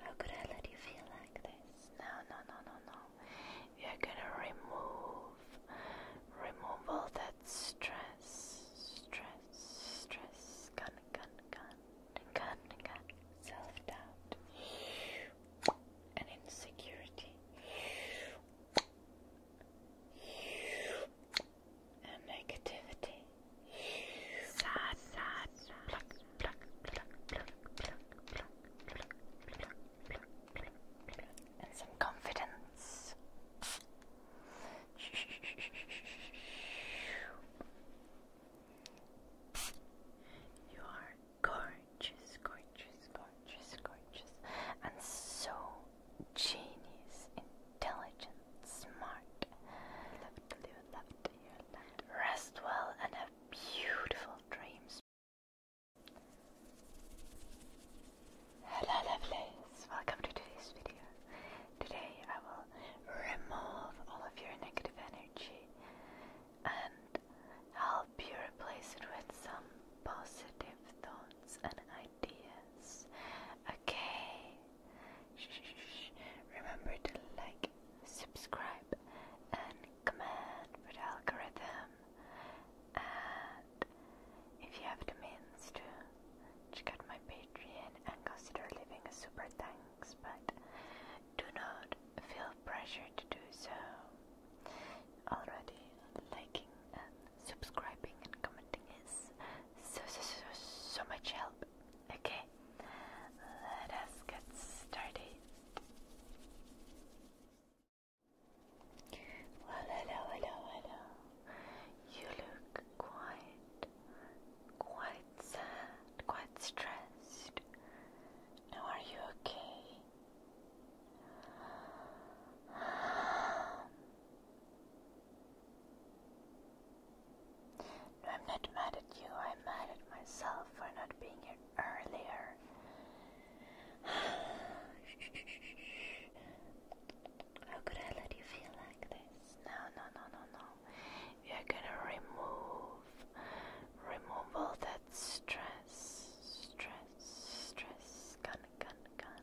How could I let you feel like this? No, no, no, no, no. We are gonna remove, remove all that stress, stress, stress. Gun, gun, gun, gun, gun. Self doubt and insecurity. And negativity. Sad, sad, and some confidence. You are gorgeous, gorgeous, gorgeous, gorgeous, and so genius, intelligent, smart. Rest well and have beautiful dreams. Hello lovelies, welcome to today's video. Today I will remove all of your negative energy and help you replace it with some positive thoughts and ideas. Okay, Remember to like, subscribe, and comment for the algorithm. And if you have the means to check out my Patreon and consider leaving a super thanks, but do not feel pressure to do so. Already liking and subscribing and commenting is so, so, so, so much help. Okay, let us get started. Well, hello, hello, hello. You look quite, quite sad, quite stressed. Now, are you okay? I'm not mad at you, I'm mad at myself for not being here earlier. How could I let you feel like this? No, no, no, no, no. We are gonna remove, remove all that stress, stress, stress, gun, gun, gun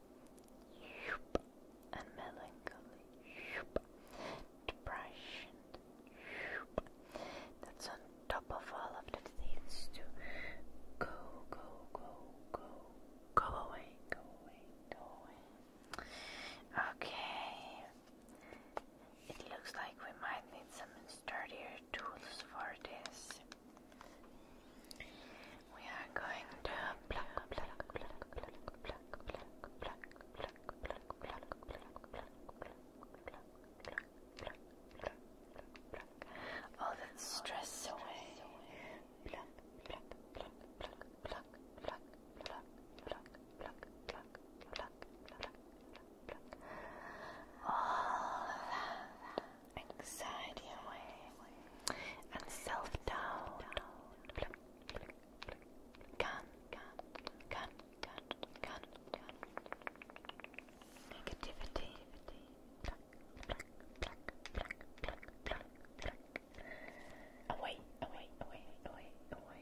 and melancholy, depression. That's on top of all of the things to go, go, go, go, go away, go away, go away. Okay, it looks like we might need some sturdier tools for this. We are going to pluck, pluck, pluck, pluck, pluck, pluck, pluck, pluck, pluck, pluck, pluck, pluck, pluck, pluck, pluck, pluck, pluck, pluck, all that stress away. Pluck, pluck, pluck, pluck, pluck, pluck, pluck, pluck, pluck, pluck, pluck, pluck, pluck, pluck, all that anxiety away and self doubt. Gun, gun, gun, gun, gun, gun. Negativity. Away, away, away, away, away.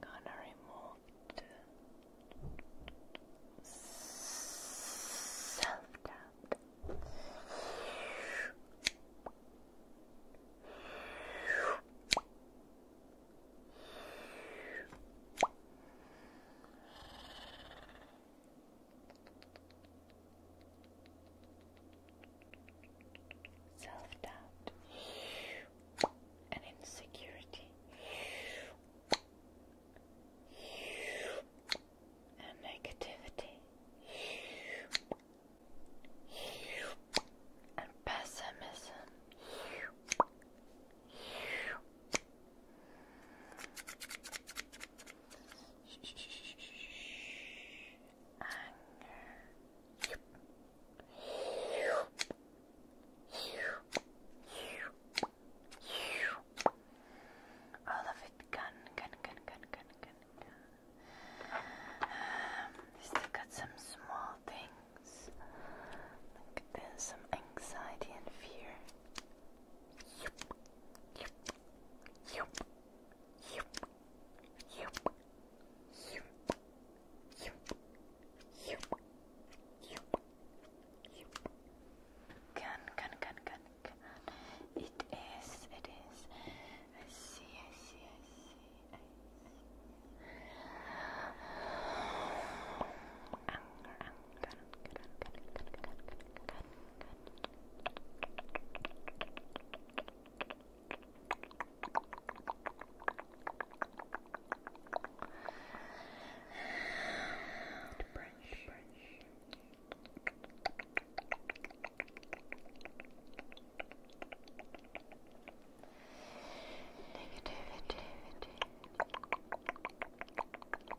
Gonna remove self doubt self doubt, and insecurity, and negativity, and pessimism. Anger. All of it gone, gone, gone, gone, gone, gone, Um, still got some small things. there's some anxiety and fear. Yep, yep, yep, yep. Can, can, can, can, can. It is, it is. I see, I see, I see, I see. Anger, anger, can, can, can, can, can, can, can, can, can, brush, brush. Negativity.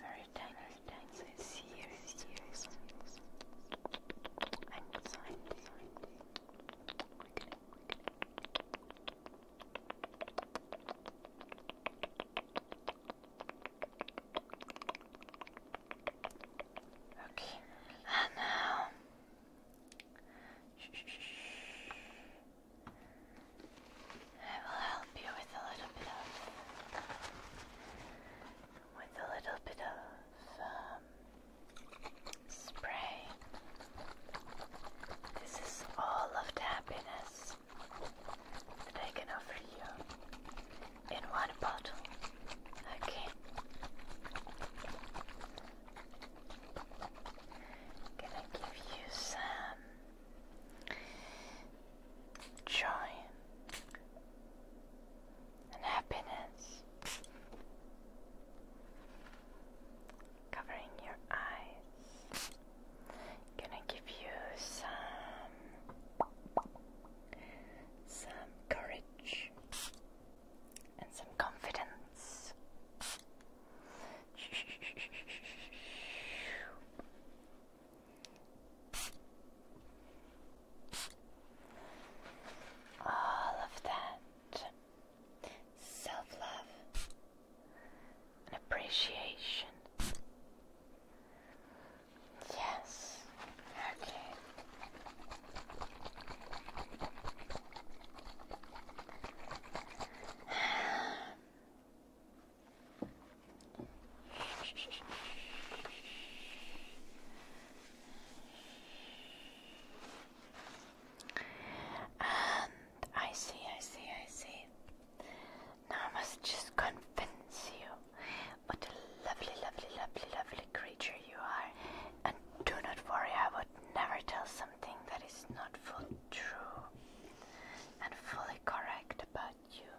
Very tiny, tiny, serious, serious, anxiety, anxiety, Okay, and now I will help you with a little bit of, with a little bit of um, Spray. This is all of the happiness that I can offer you in one bottle. Okay. Can I give you some joy? and happiness covering your eyes. Gonna give you some some courage and some confidence all of that self love and appreciation. Yes, okay. I see, I see, I see. Now I must just convince you what a lovely, lovely, lovely, lovely creature you are. And do not worry, I would never tell something that is not full true and fully correct about you.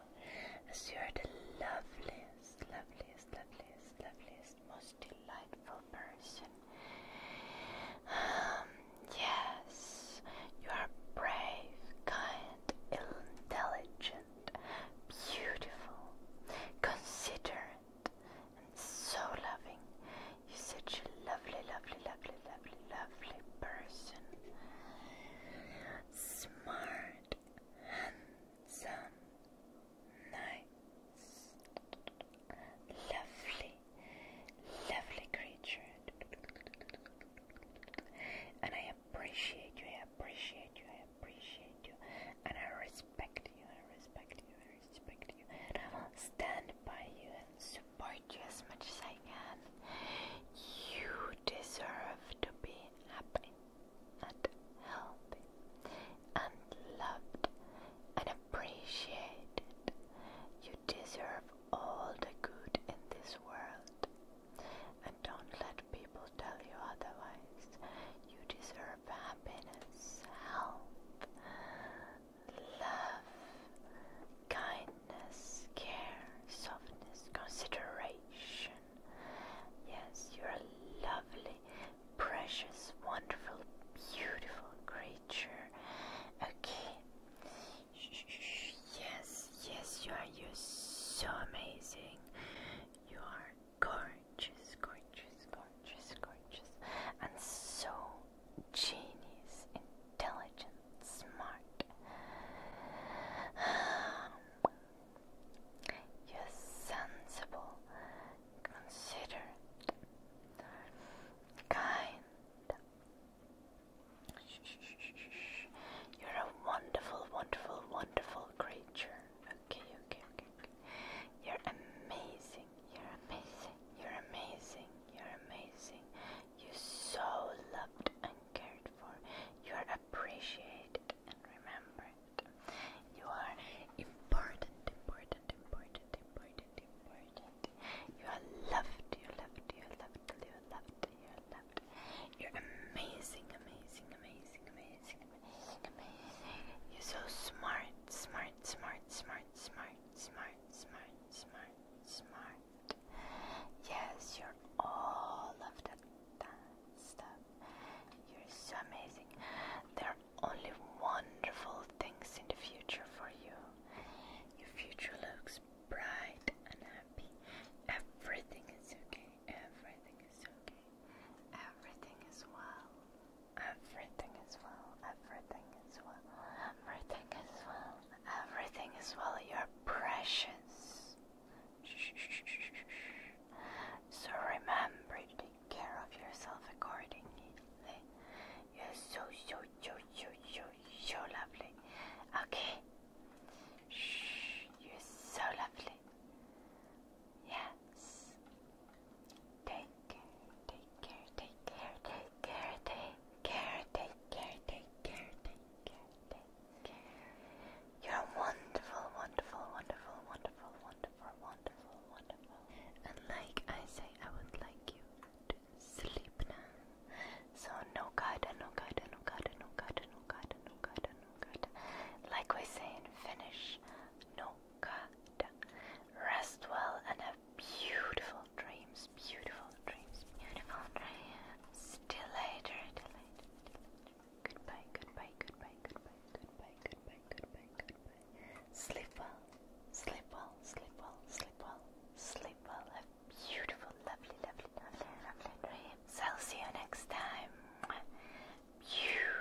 As you are the loveliest, loveliest loveliest, loveliest, most delightful person. Um, yes, you are brave, kind, intelligent, beautiful, considerate, and so loving. You're such a lovely, lovely, lovely, lovely, lovely person. Smart, handsome. Some nice, lovely, lovely creature. And I appreciate you, I appreciate you, I appreciate you, and I respect you, I respect you, I respect you, and I will stand by you and support you as much as I can. You deserve to be happy and healthy and loved and appreciated. You deserve all the good in this world. And don't let people tell you otherwise. You deserve happiness, help, love, kindness, care, softness, consideration. Yes, you're a lovely, precious, wonderful, beautiful creature. Okay. Yes, yes, you are. You're so amazing. You are gorgeous, gorgeous, gorgeous, gorgeous, and so genius, intelligent, smart. You're sensible, considerate, kind. You're a wonderful, wonderful, wonderful creature. Okay, okay, okay, You're amazing. You're amazing. You're amazing. You're amazing. You're so loved and cared for. You're a appreciate it and remember it. You are important, important, important, important, important. You are loved, you are loved, you are loved, you are loved, you are loved. You're amazing, amazing, amazing, amazing, amazing, amazing. You're so smart, smart, smart, smart, smart, smart, smart, smart, smart. Yes, you're all of that that You're so amazing. There are only wonderful things in the future for you. Your future looks bright and happy. Everything is okay. Everything is okay. Everything is well. Everything is well. Everything is well. Everything is well. Everything is well. You're precious. So remember to take care of yourself accordingly. You're so, so, so, so, so, so lovely. Okay. you're so lovely. Yes. Take care, take care, take care, take care, take care, take care, take care, take care. Take care. You're a wonderful, wonderful, wonderful, wonderful, wonderful, wonderful, wonderful. And like I say, I would like you to sleep now. So no kada, no kada, no kada, no kada, no kada, no kada, no kada. Like we say in Finnish, no kada. Rest well and have beautiful dreams, beautiful beautiful dreams. Goodbye, goodbye, goodbye, goodbye, goodbye, goodbye, goodbye, goodbye. Sleep well, sleep well, sleep well, sleep well, sleep well. Have beautiful, lovely, lovely, lovely, lovely dreams. I'll see you next time. Pew.